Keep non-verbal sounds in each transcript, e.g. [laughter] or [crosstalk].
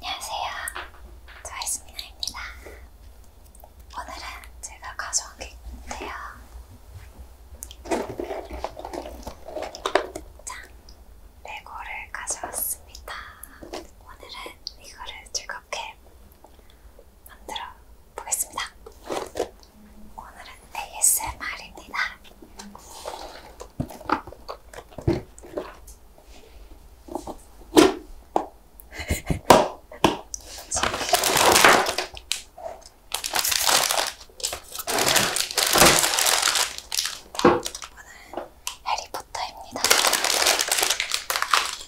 안녕하세요. 저이스미나입니다. 오늘은 제가 가져온 게 있는데요. 자, 레고를 가져왔습니다. 오늘은 이거를 즐겁게 그렇게 만들어 보겠습니다. 오늘은 ASMR입니다. 오늘은 해리포터입니다.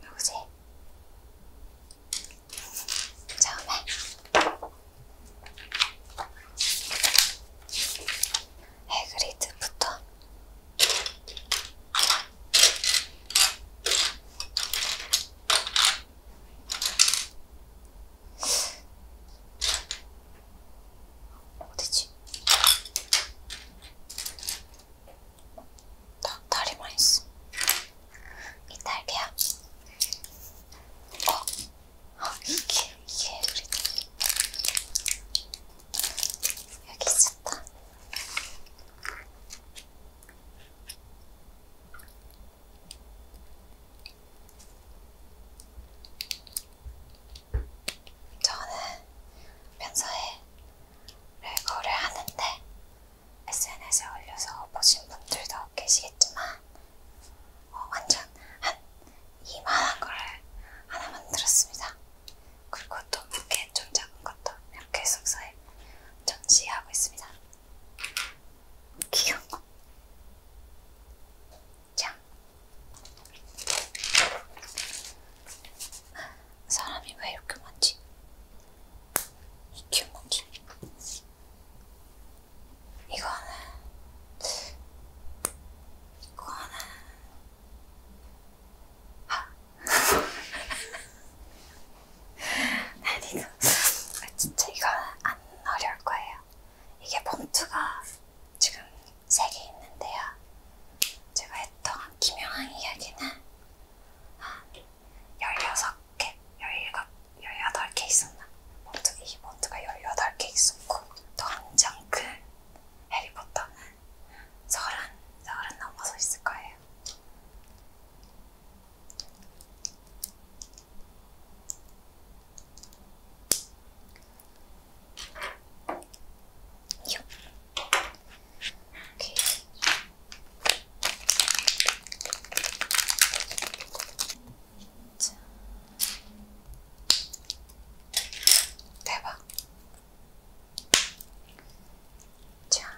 누구지? 처음에 해그리드부터 어디지? 닭다리만 있어. 이 달걀. 어? 아, 이게, 이게 우리 여기 있었다. 저는 평소에 레고를 하는데 SNS에 올려서 보신 분들도 계시겠지만 어, 완전 한 이만한 걸 하나 만들었습니다. 그리고 또 부케 좀 작은 것도 이렇게 숙소에 전시하고 있습니다. 귀여워. 자, 사람이 왜 이렇게 많지? 귀여운 건지. 이거는, 이거는, 아, [laughs] 아니, 아, 진짜 이건 안 어려울 거예요. 이게 봉투가 지금 세 개 있는데요. 제가 했던 김영한 이야기는 한 16개, 17, 18개 있었나? 봉투, 이 봉투가 18개 있었고, 또 한장 큰 그 해리포터는 한 서른, 서른 넘어서 있을 거예요. 요. 오케이. 자. 대박. 자,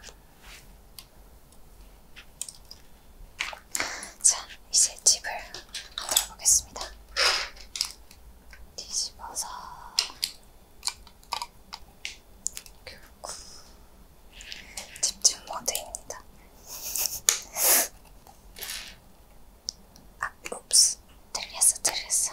자 이제 집을 만들어 보겠습니다. 뒤집어서 결국 집중 모드입니다. 아, 읍스, 들렸어, 들렸어.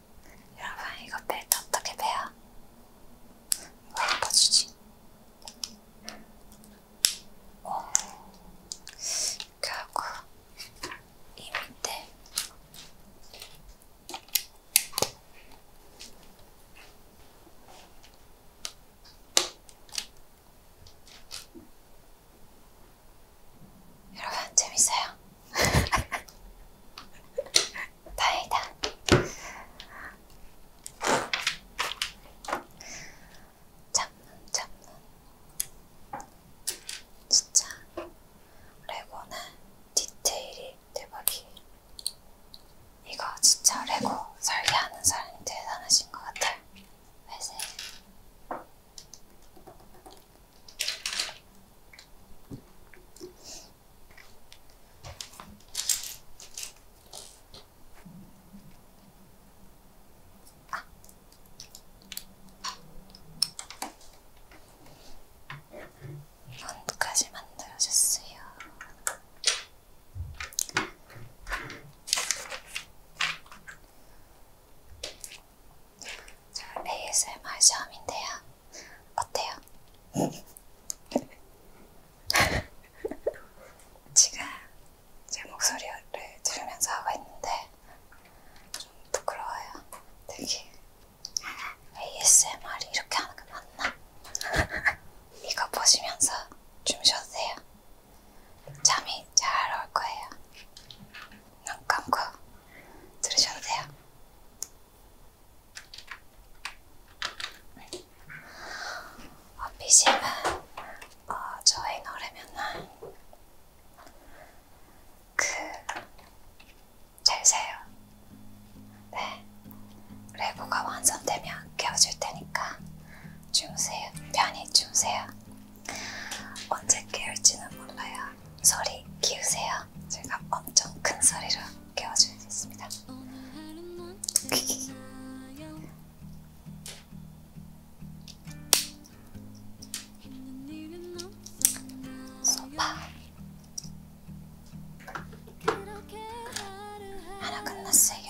여러분 이거 벨트 어떻게 빼요? 이거 덮어주지 오 결국 이 밑에 여러분 재밌어요? [laughs] 다행이다. 잡는 잡는 진짜 레고는 디테일이 대박이. 이거 진짜 레고 설계하는 사람이 대단하신 것 같아요. 회색 만두까지 만들어줬어요. 저 ASMR 시험인데요. 어때요? 지금 [laughs] 제 목소리를 들으면서 하고 있는데 좀 부끄러워요. 되게 ASMR 이렇게 하는 게 맞나? [laughs] 이거 보시면서 주무셔도 돼요. 잠이 잘 올 거예요. 눈 감고 들으셔도 돼요. 어피시는 어, 저희 노래면은 그잘 세요. 네, 레고가 완성되면 깨워줄 테니까 주무세요. 편히 주무세요. 언제 깨울지는 몰라요. 소리 키우세요. 제가 엄청 큰 소리로 깨워주겠습니다. 소파 하나 끝났어요.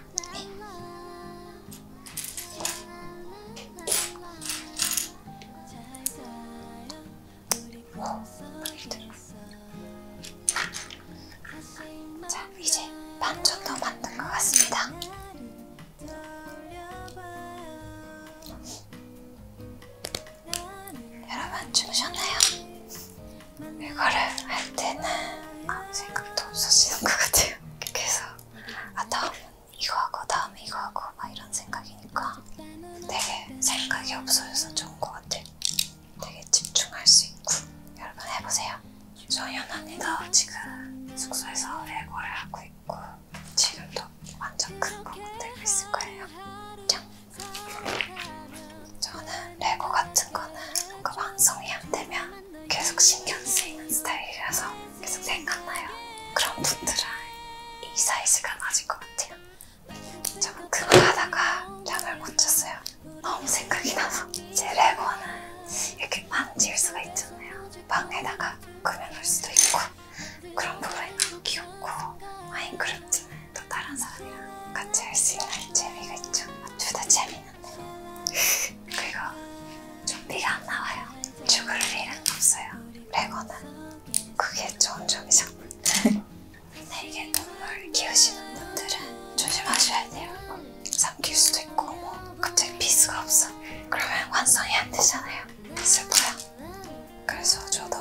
자, 이제 반 정도 만든 것 같습니다. 여러분 주무셨나요? 이거를 할 때는 아무 생각도 없어지는 것 같아요. 계속 아 다음은 이거 하고 다음에 이거 하고 막 이런 생각이니까 되게 생각이 없어져서 좋은 것 같아. 되게 집중할 수 있고 여러분 해보세요. 정연언니도 지금 숙소에서 레고를 하고 있고 지금도 완전 큰거 만들고 있을 거예요. 짱! 저는 레고 같은 거는 뭔가 완성이 안 되면 계속 신경 쓰이는 스타일이라서 계속 생각나요. 그런 분들은 이 사이즈가 맞을 것 같아요. 저는 그거 하다가 잠을 못 잤어요. 너무 생각이 나서 제 레고는 이렇게 만질 수가 있잖아요. 방에다가 꾸며놓을 수도 있고 그런 부분이 너무 귀엽고 마인크래프트는 또 다른 사람이랑 같이 할 수 있는 재미가 있죠. 아, 둘다 재미 [laughs] 그리고 좀비가 안 나와요. 죽을 일은 없어요. 레거나 그게 좋은 점이죠. [laughs] 근데 이게 동물 키우시는 분들은 조심하셔야 돼요. 삼킬 수도 있고 뭐 갑자기 피스가 없어. 그러면 완성이 안 되잖아요. 슬퍼요. 그래서 저도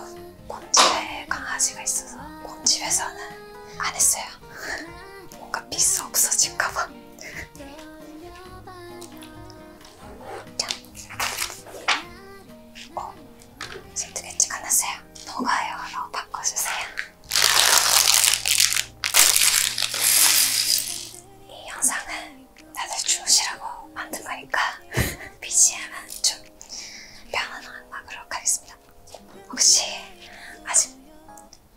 곰집에 강아지가 있어서 곰집에서는 안 했어요. 뭔가 피스 없어질까봐. 자, 어, 세트가 찍어놨어요. 녹아요로 바꿔주세요. 이 영상은 다들 주무시라고 만든 거니까 BGM은 [laughs] 좀 편안한 음악으로 가겠습니다. 혹시 아직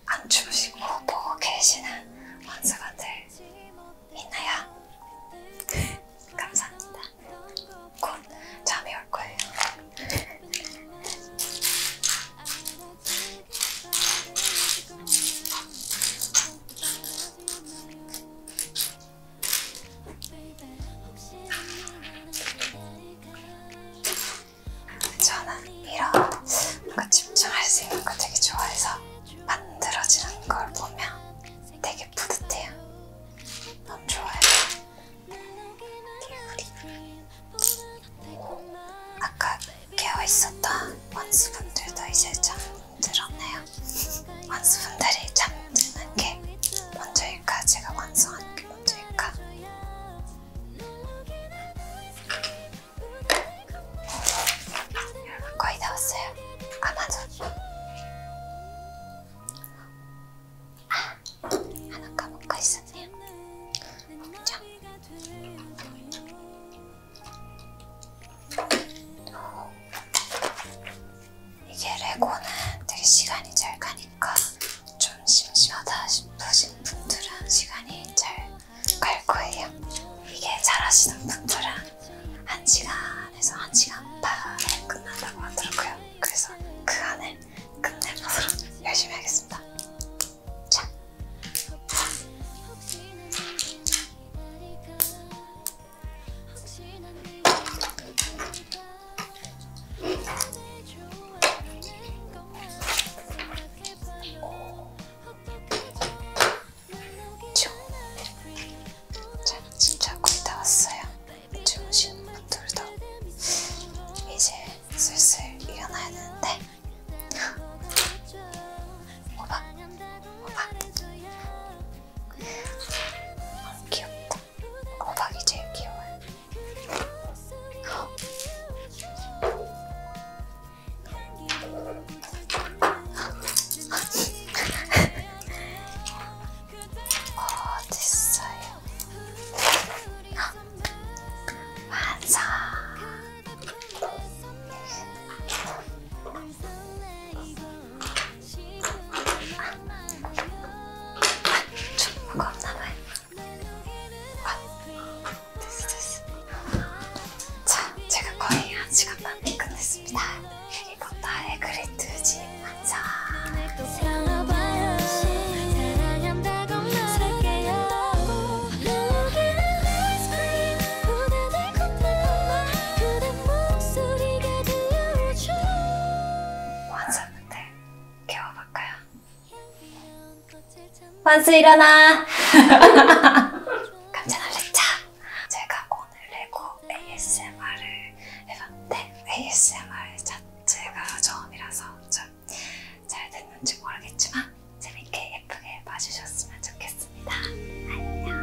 안 주무시고 보고 뭐 계시는 원수가들 있나요? [laughs] 감사합니다. 곧 잠이 올 거예요. [laughs] 저는 이런 뭔가 집중할 수 있는 거 되게 좋아해서 만들어지는 걸 보면 되게 뿌듯해요. 너무 좋아요. 오, 아까 깨어 있었던 원수분들도 이제 잠들었네요. 원수분들이 잠드는 게 먼저일까 제가 완성하는 게 먼저일까 거의 다 왔어요. 아 맞아. 아 하나 까먹고 있었네요. 자. 이게 레고는 되게 시간이 잘 가니. 보니까 그러니까 좀 심심하다 싶으신 분들은 시간이 잘 갈 거예요. 이게 잘하시는 분들은 한 시간에서 한 시간 반에 끝난다고 하더라고요. 그래서 그 안에 끝내보도록 열심히 하겠습니다. 자. 저는 진짜 거의 다 왔어요. 주무시는 분들도 이제 슬슬 일어나야 되는데 오박 오박 너무 귀엽다. 호박이 제일 귀여워요. 어, 됐어요. 완성! 좀 무겁나봐요. 아, 됐어, 됐어. 자, 제가 거의 한 시간 만에 끝냈습니다. 이거 나의 그리트 집 완성. 완성인데 깨워볼까요? 환수 일어나! 깜짝 [laughs] 놀랐죠? 제가 오늘 레고 ASMR을 해봤는데 ASMR 자체가 처음이라서 좀 잘 됐는지 모르겠지만 재밌게 예쁘게 봐주셨으면 좋겠습니다. 안녕!